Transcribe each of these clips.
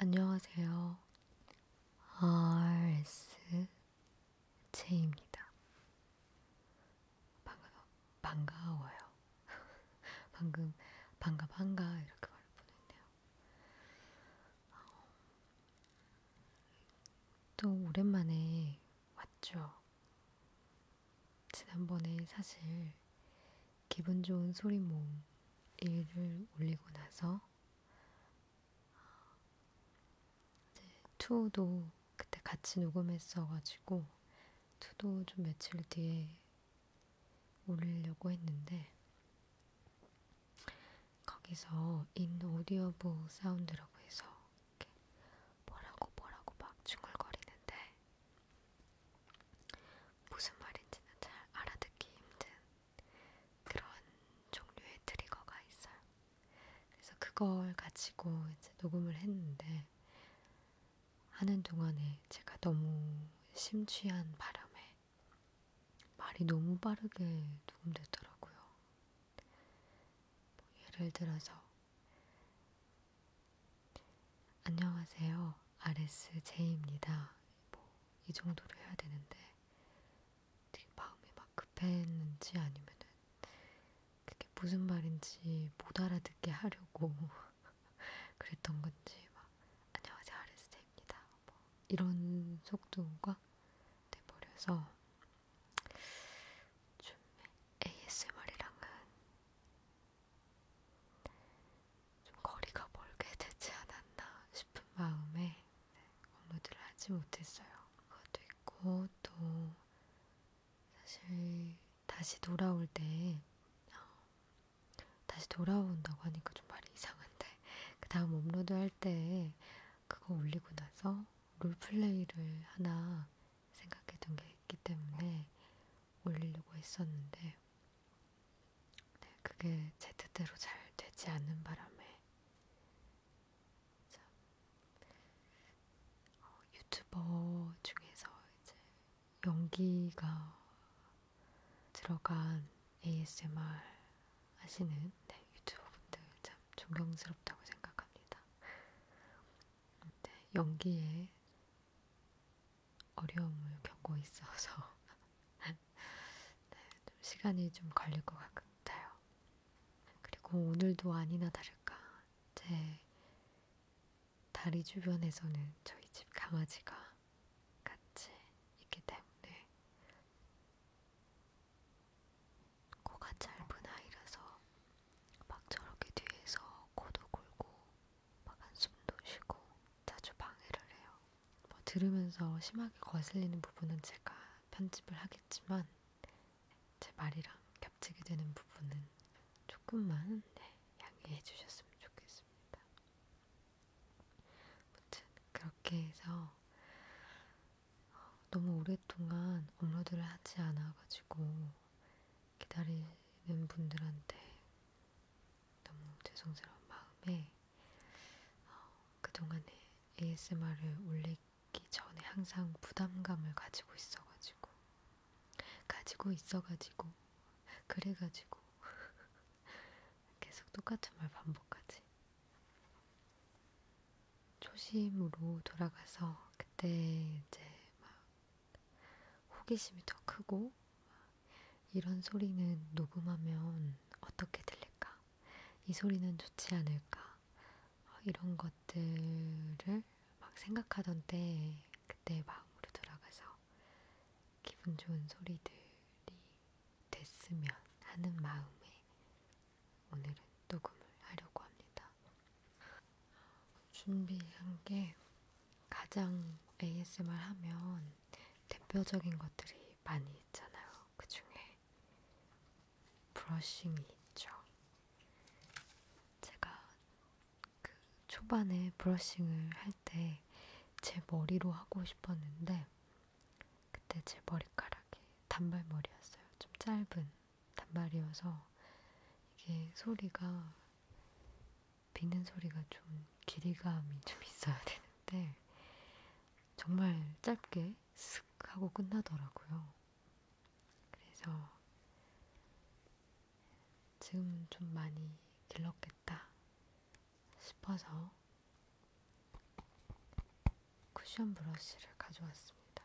안녕하세요. RSJ입니다. 반가, 반가워요. 방금 반가 반가 이렇게 말을 보냈네요. 어, 또 오랜만에 왔죠. 지난번에 사실 기분 좋은 소리 모음 1을 올리고 나서 이제 2도 그때 같이 녹음했어가지고 2도 좀 며칠 뒤에 올리려고 했는데 거기서 인 오디오부 사운드라고 해서 이렇게 뭐라고 뭐라고 막 중얼거리는데 무슨 말인지는 잘 알아듣기 힘든 그런 종류의 트리거가 있어요. 그래서 그걸 가지고 이제 녹음을 했는데 하는 동안에 제가 너무 심취한 바람에 말이 너무 빠르게 녹음되더라고요. 뭐 예를 들어서 안녕하세요. RSJ입니다. 뭐, 이 정도로 해야 되는데, 되게 마음이 막 급했는지 아니면은, 그게 무슨 말인지 못 알아듣게 하려고 그랬던 건지, 막, 안녕하세요. RSJ입니다. 뭐, 이런 속도가 돼버려서, 좀 ASMR이랑은 좀 거리가 멀게 되지 않았나 싶은 마음에 네, 업무들을 하지 못했어요. 그것도 있고 또 사실 다시 돌아올 때 어, 다시 돌아온다고 하니까 좀 말이 이상한데 그 다음 업로드 할 때 그거 올리고 나서 롤플레이를 하나 생각했던 게 있기 때문에 올리려고 했었는데 네, 그게 제 뜻대로 잘 되지 않는 바람에 참 어, 유튜버 중에서 이제 연기가 들어간 ASMR 하시는 네, 유튜버분들 참 존경스럽다고 생각합니다. 네, 연기에 어려움을 겪고 있어서 네, 좀 시간이 좀 걸릴 것 같아요. 그리고 오늘도 아니나 다를까 제 다리 주변에서는 저희 집 강아지가 같이 있기 때문에 코가 짧은 아이라서 막 저렇게 뒤에서 코도 골고 막 한숨도 쉬고 자주 방해를 해요. 뭐 들으면서 심하게 거슬리는 부분은 제가 편집을 하겠지만 제 말이랑 겹치게 되는 부분은 조금만 네, 양해해 주셨으면 좋겠습니다. 아무튼 그렇게 해서 어, 너무 오랫동안 업로드를 하지 않아가지고 기다리는 분들한테 너무 죄송스러운 마음에 어, 그동안에 ASMR을 올리기 전에 항상 부담감을 가지고 있어가지고 가지고 있어가지고 그래가지고 계속 똑같은 말 반복하지 초심으로 돌아가서 그때 이제 막 호기심이 더 크고 이런 소리는 녹음하면 어떻게 들릴까? 이 소리는 좋지 않을까? 이런 것들을 막 생각하던 때 그때 마음으로 돌아가서 기분 좋은 소리들이 됐으면 하는 마음에 오늘은 녹음을 하려고 합니다. 준비한 게 가장 ASMR 하면 대표적인 것들이 많이 있잖아요. 그 중에 브러싱이 있죠. 제가 그 초반에 브러싱을 할 때 제 머리로 하고 싶었는데 그때 제 머리카락이 단발머리였어요. 좀 짧은 단발이어서 이게 소리가 비는 소리가 좀 길이감이 좀 있어야 되는데 정말 짧게 슥 하고 끝나더라고요. 그래서 지금 좀 많이 길렀겠다 싶어서 쿠션 브러쉬를 가져왔습니다.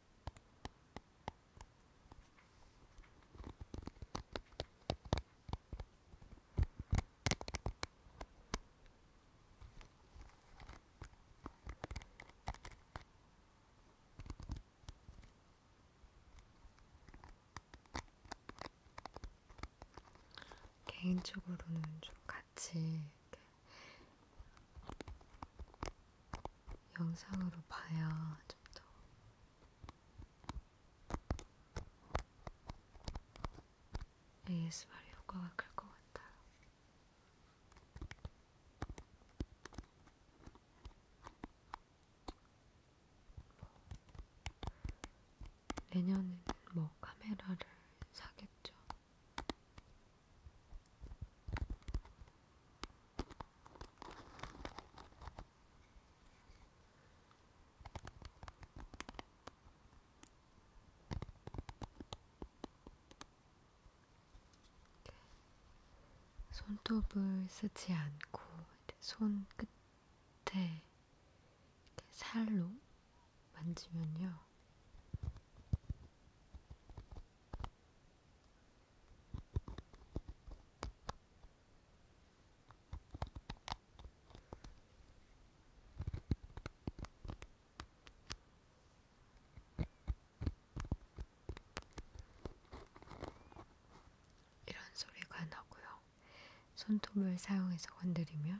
개인적으로는 좀 같이 이렇게 영상으로 봐야 좀 더 ASMR 효과가 클 것 같아요. 내년에는 뭐 카메라를 사겠죠. 손톱을 쓰지 않고 손 끝에 살로 만지면요. 이런 소리가 나고요. 손톱을 사용해서 건드리면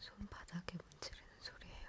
손바닥에 문지르는 소리예요.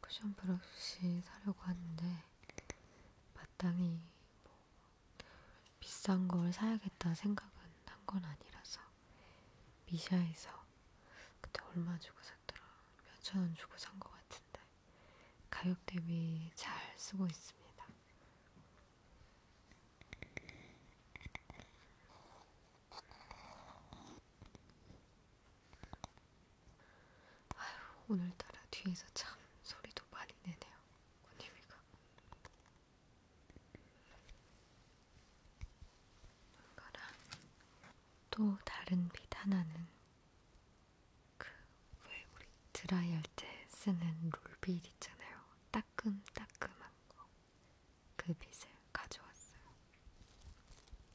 쿠션 브러쉬 사려고 하는데 마땅히 뭐 비싼 걸 사야겠다 생각은 한 건 아니라서 미샤에서 그때 얼마 주고 샀더라 몇천 원 주고 산 것 같은데 가격 대비 잘 쓰고 있습니다. 아휴, 오늘따라 뒤에서 참 소리도 많이 내네요. 꽃님이가. 뭔가랑 또 다른 빛 하나는 그왜 우리 드라이할 때 쓰는 롤빛 있잖아요. 따끔따끔한 거. 그 빛을 가져왔어요.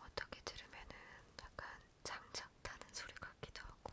어떻게 들으면은 약간 장작 타는 소리 같기도 하고.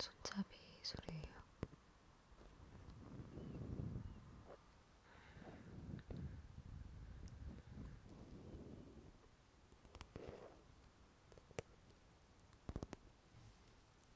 손잡이 소리예요.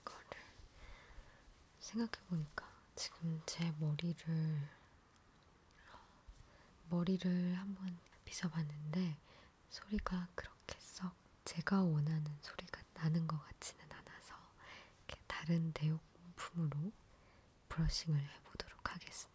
이거를 생각해보니까 지금 제 머리를 머리를 한번 빗어봤는데 소리가 그렇게 썩 제가 원하는 소리가 나는 것 같지는 않아서 다른 대용품으로 브러싱을 해보도록 하겠습니다.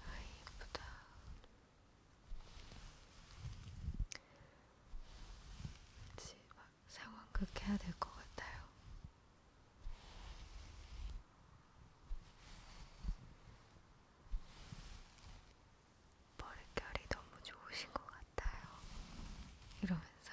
아, 이쁘다. 이제 막 상황극 해야 될 것 같아요. 머릿결이 너무 좋으신 것 같아요. 이러면서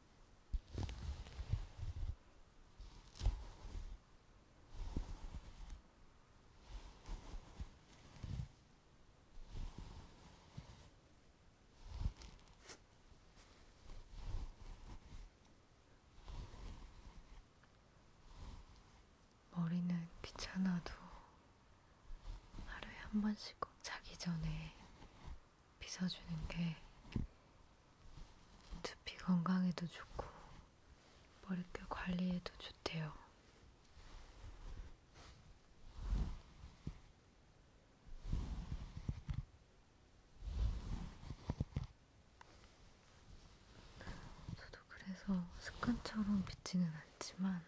머리는 귀찮아도 하루에 한 번씩 꼭 자기 전에 빗어주는 게 두피 건강에도 좋고 머릿결 관리에도 좋대요. 저도 그래서 습관처럼 빗지는 않지만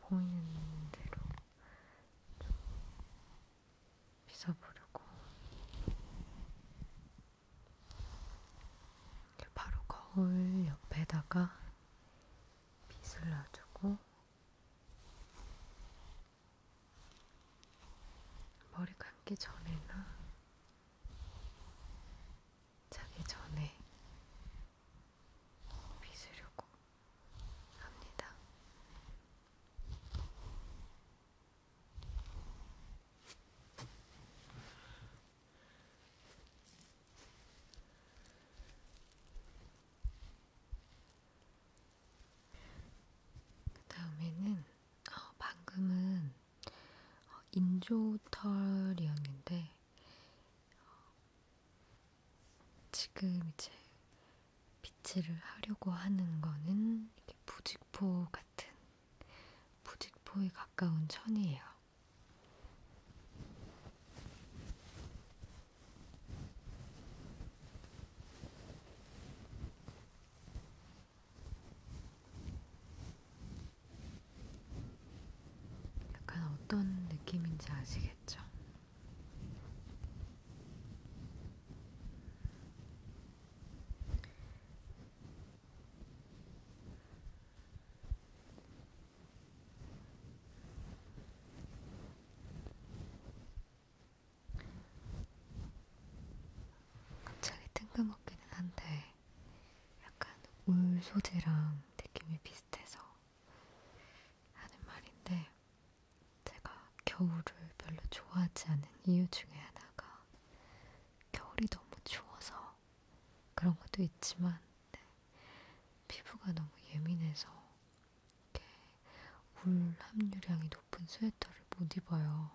보이는 대로 좀 빗어보려고 바로 거울 옆에다가 빗을 놔주고 머리 감기 전에나 자기 전에 빗으려고 합니다. 그 다음에는 어, 방금은 어, 인조털이었는데 어, 지금 이제 비치를 하려고 하는 거는 이렇게 부직포 같은 부직포에 가까운 천이에요. 약간 어떤 느낌인지 아시겠죠? 갑자기 뜬금없기는 한데 약간 울 소재랑 느낌이 비슷해서 하는 말인데 제가 겨울을 별로 좋아하지 않은 이유 중에 하나가 겨울이 너무 추워서 그런 것도 있지만 네. 피부가 너무 예민해서 이렇게 울 함유량이 높은 스웨터를 못 입어요.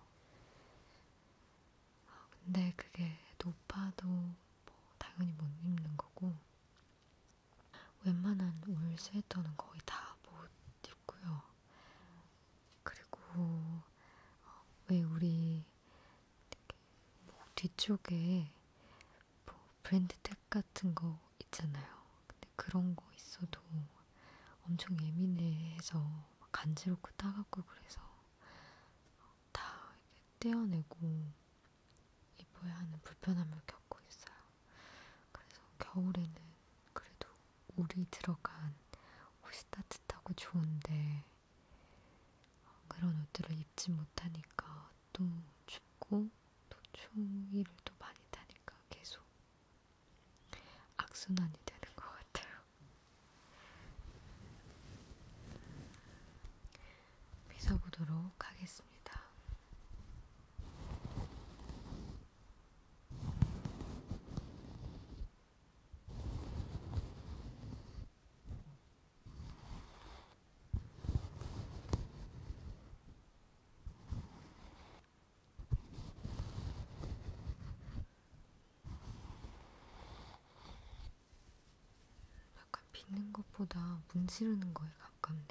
아, 근데 그게 높아도 뭐 당연히 못 입는 거고 웬만한 울 스웨터는 거의 다 못 입고요. 그리고 어, 왜 우리 목 뒤쪽에 뭐 브랜드 택 같은 거 있잖아요. 근데 그런 거 있어도 엄청 예민해서 간지럽고 따갑고 그래서 다 떼어내고 입어야 하는 불편함을 겪고 있어요. 그래서 겨울에는 그래도 울이 들어간 옷이 따뜻하고 좋은데 어, 그런 옷들을 입지 못하니까 또 춥고 또 추위를 또 많이 타니까 계속 악순환이 되는 것 같아요. 빗어보도록 하겠습니다. 약간 빗는 것보다 문지르는 거에 가깝네요.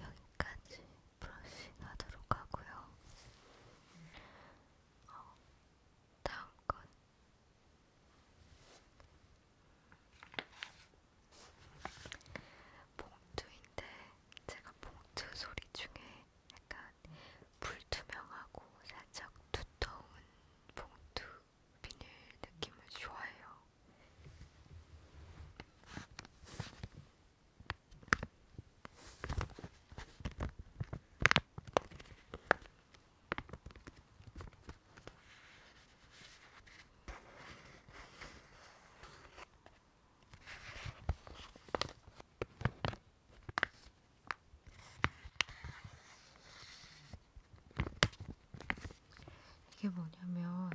여기까지 브러싱 하도록 하고요. 어, 다음 건 봉투인데 제가 봉투 소리 중에 약간 불투명하고 살짝 두터운 봉투 비닐 느낌을 좋아해요. 이게 뭐냐면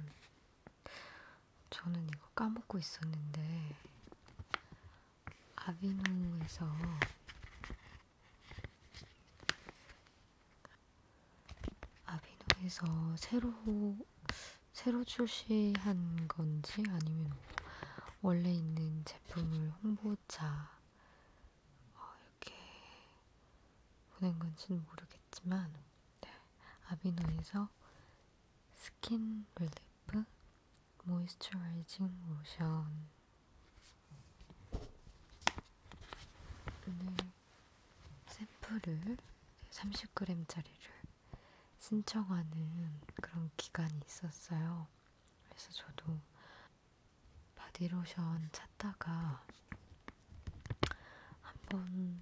저는 이거 까먹고 있었는데 아비노에서 아비노에서 새로 새로 출시한 건지 아니면 원래 있는 제품을 홍보차 어, 이렇게 보낸 건지는 모르겠지만 네. 아비노에서 스킨 릴리프 모이스처라이징 로션 오늘 샘플을 30g짜리를 신청하는 그런 기간이 있었어요. 그래서 저도 바디로션 찾다가 한번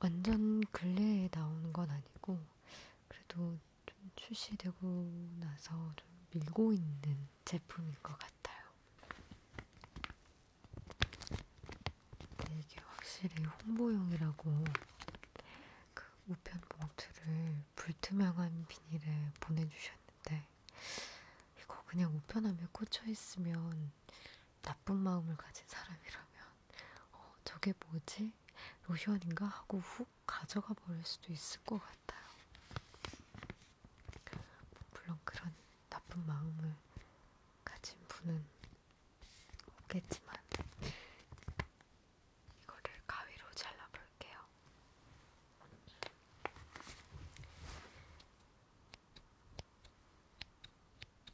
완전 근래에 나오는 건 아니고 그래도 좀 출시되고 나서 좀 밀고 있는 제품인 것 같아요. 네, 이게 확실히 홍보용이라고 그 우편 봉투를 불투명한 비닐에 보내주셨는데 이거 그냥 우편함에 꽂혀 있으면 나쁜 마음을 가진 사람이라면 어, 저게 뭐지? 로션인가? 하고 훅 가져가 버릴 수도 있을 것 같아요. 물론 그런 나쁜 마음을 가진 분은 없겠지만 이거를 가위로 잘라볼게요.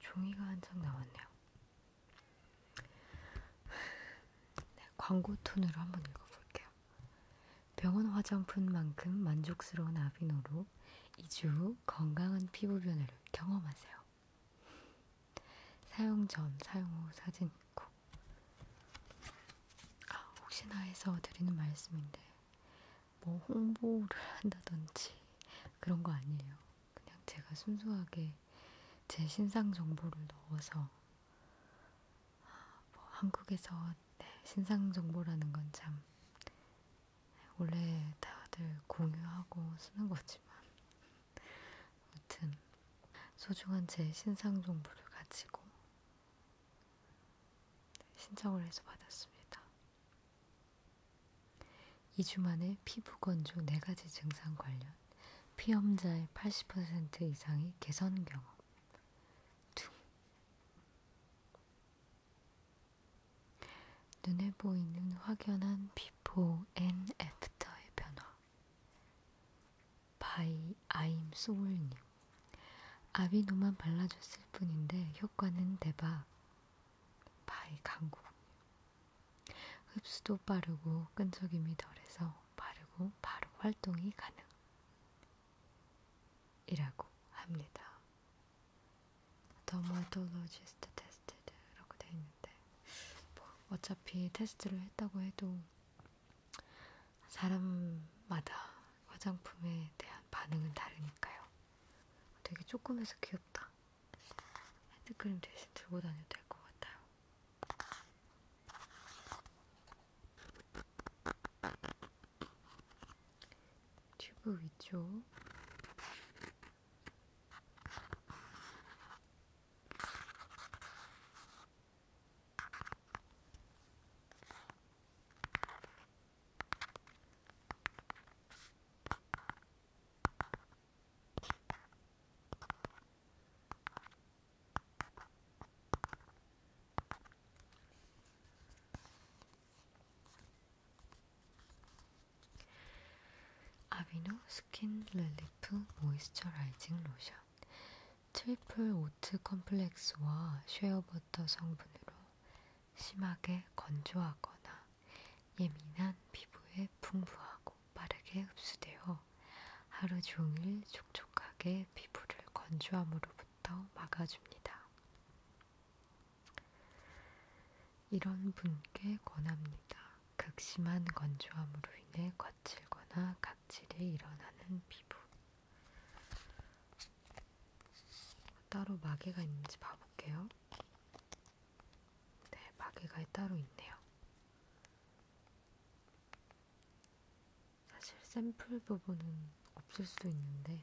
종이가 한 장 나왔네요. 네, 광고 톤으로 한번 읽어볼게요. 병원 화장품만큼 만족스러운 아비노로 2주 후 건강한 피부 변화를 경험하세요. 사용 전, 사용 후 사진 있고. 아, 혹시나 해서 드리는 말씀인데, 뭐 홍보를 한다든지 그런 거 아니에요. 그냥 제가 순수하게 제 신상 정보를 넣어서, 아, 뭐 한국에서 네, 신상 정보라는 건참 원래 다들 공유하고 쓰는 거지만 아무튼 소중한 제 신상 정보를 가지고 신청을 해서 받았습니다. 2주 만에 피부 건조 4가지 증상 관련 피험자의 80% 이상이 개선 경험 둥 눈에 보이는 확연한 비포 앤 애프터의 변화 바이 아임 소울님 아비노만 발라줬을 뿐인데 효과는 대박 바이 강국님 흡수도 빠르고 끈적임이 덜해서 바르고 바로 활동이 가능 이라고 합니다. 더마톨로지스트 테스트라고 되어 있는데 뭐 어차피 테스트를 했다고 해도 사람마다 화장품에 대한 반응은 다르니까요. 되게 조그매서 귀엽다. 핸드크림 대신 들고 다녀도 될 것 같아요. 튜브 위쪽 아비노 스킨 렐리프 모이스처라이징 로션 트리플 오트 컴플렉스와 쉐어버터 성분으로 심하게 건조하거나 예민한 피부에 풍부하고 빠르게 흡수되어 하루 종일 촉촉하게 피부를 건조함으로부터 막아줍니다. 이런 분께 권합니다. 극심한 건조함으로 인해 거칠거나 각질이 일어나는 피부. 따로 마개가 있는지 봐볼게요. 네, 마개가 따로 있네요. 사실 샘플 부분은 없을 수 있는데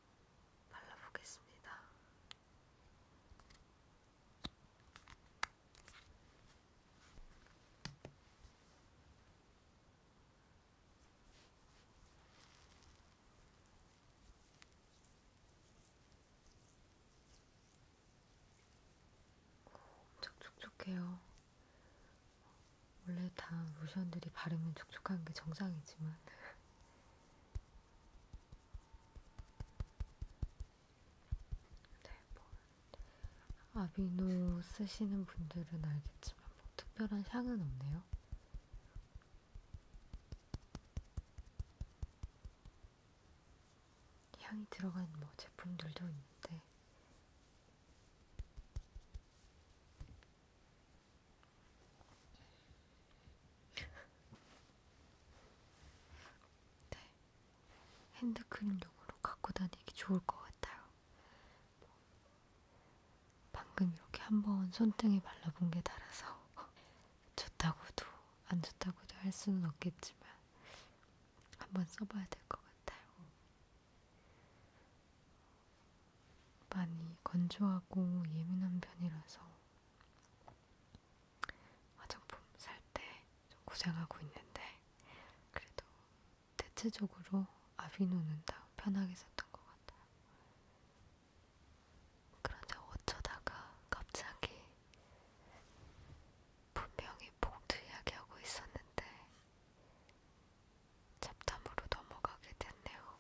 발라보겠습니다. 오, 엄청 촉촉해요. 원래 다 로션들이 바르면 촉촉한 게 정상이지만 네, 뭐. 아비노 쓰시는 분들은 알겠지만 뭐 특별한 향은 없네요. 향이 들어간 뭐 제품들도 있는데 네, 핸드크림용으로 갖고 다니기 좋을 것 같아요. 방금 이렇게 한번 손등에 발라본 게 달아서 좋다고도 안 좋다고도 할 수는 없겠지만 한번 써봐야 될 것 같아요. 많이 건조하고 예민한 편이라서 화장품 살 때 좀 고생하고 있는데 그래도 대체적으로 아비노는 다 편하게 썼던 것 같아요. 그런데 어쩌다가 갑자기 분명히 복도 이야기하고 있었는데 잡담으로 넘어가게 됐네요.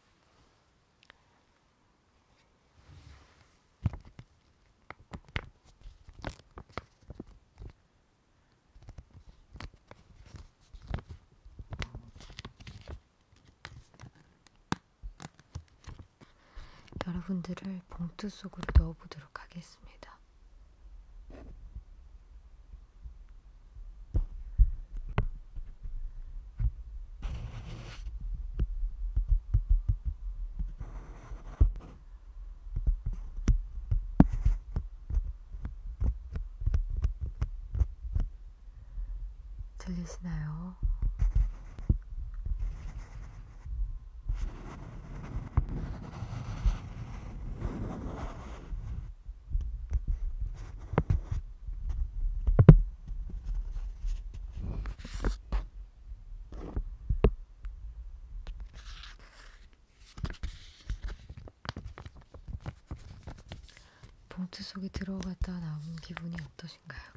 여러분들을 봉투 속으로 넣어보도록 하겠습니다. 들리시나요? 봉투 속에 들어갔다 나온 기분이 어떠신가요?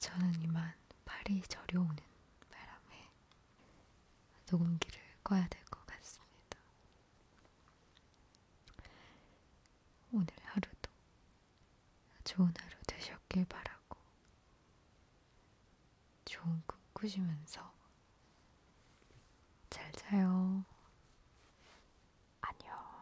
저는 이만 팔이 저려오는 바람에 녹음기를 꺼야 될 것 같습니다. 오늘 하루도 좋은 하루 되셨길 바라고 좋은 꿈 꾸시면서 잘 자요. 안녕.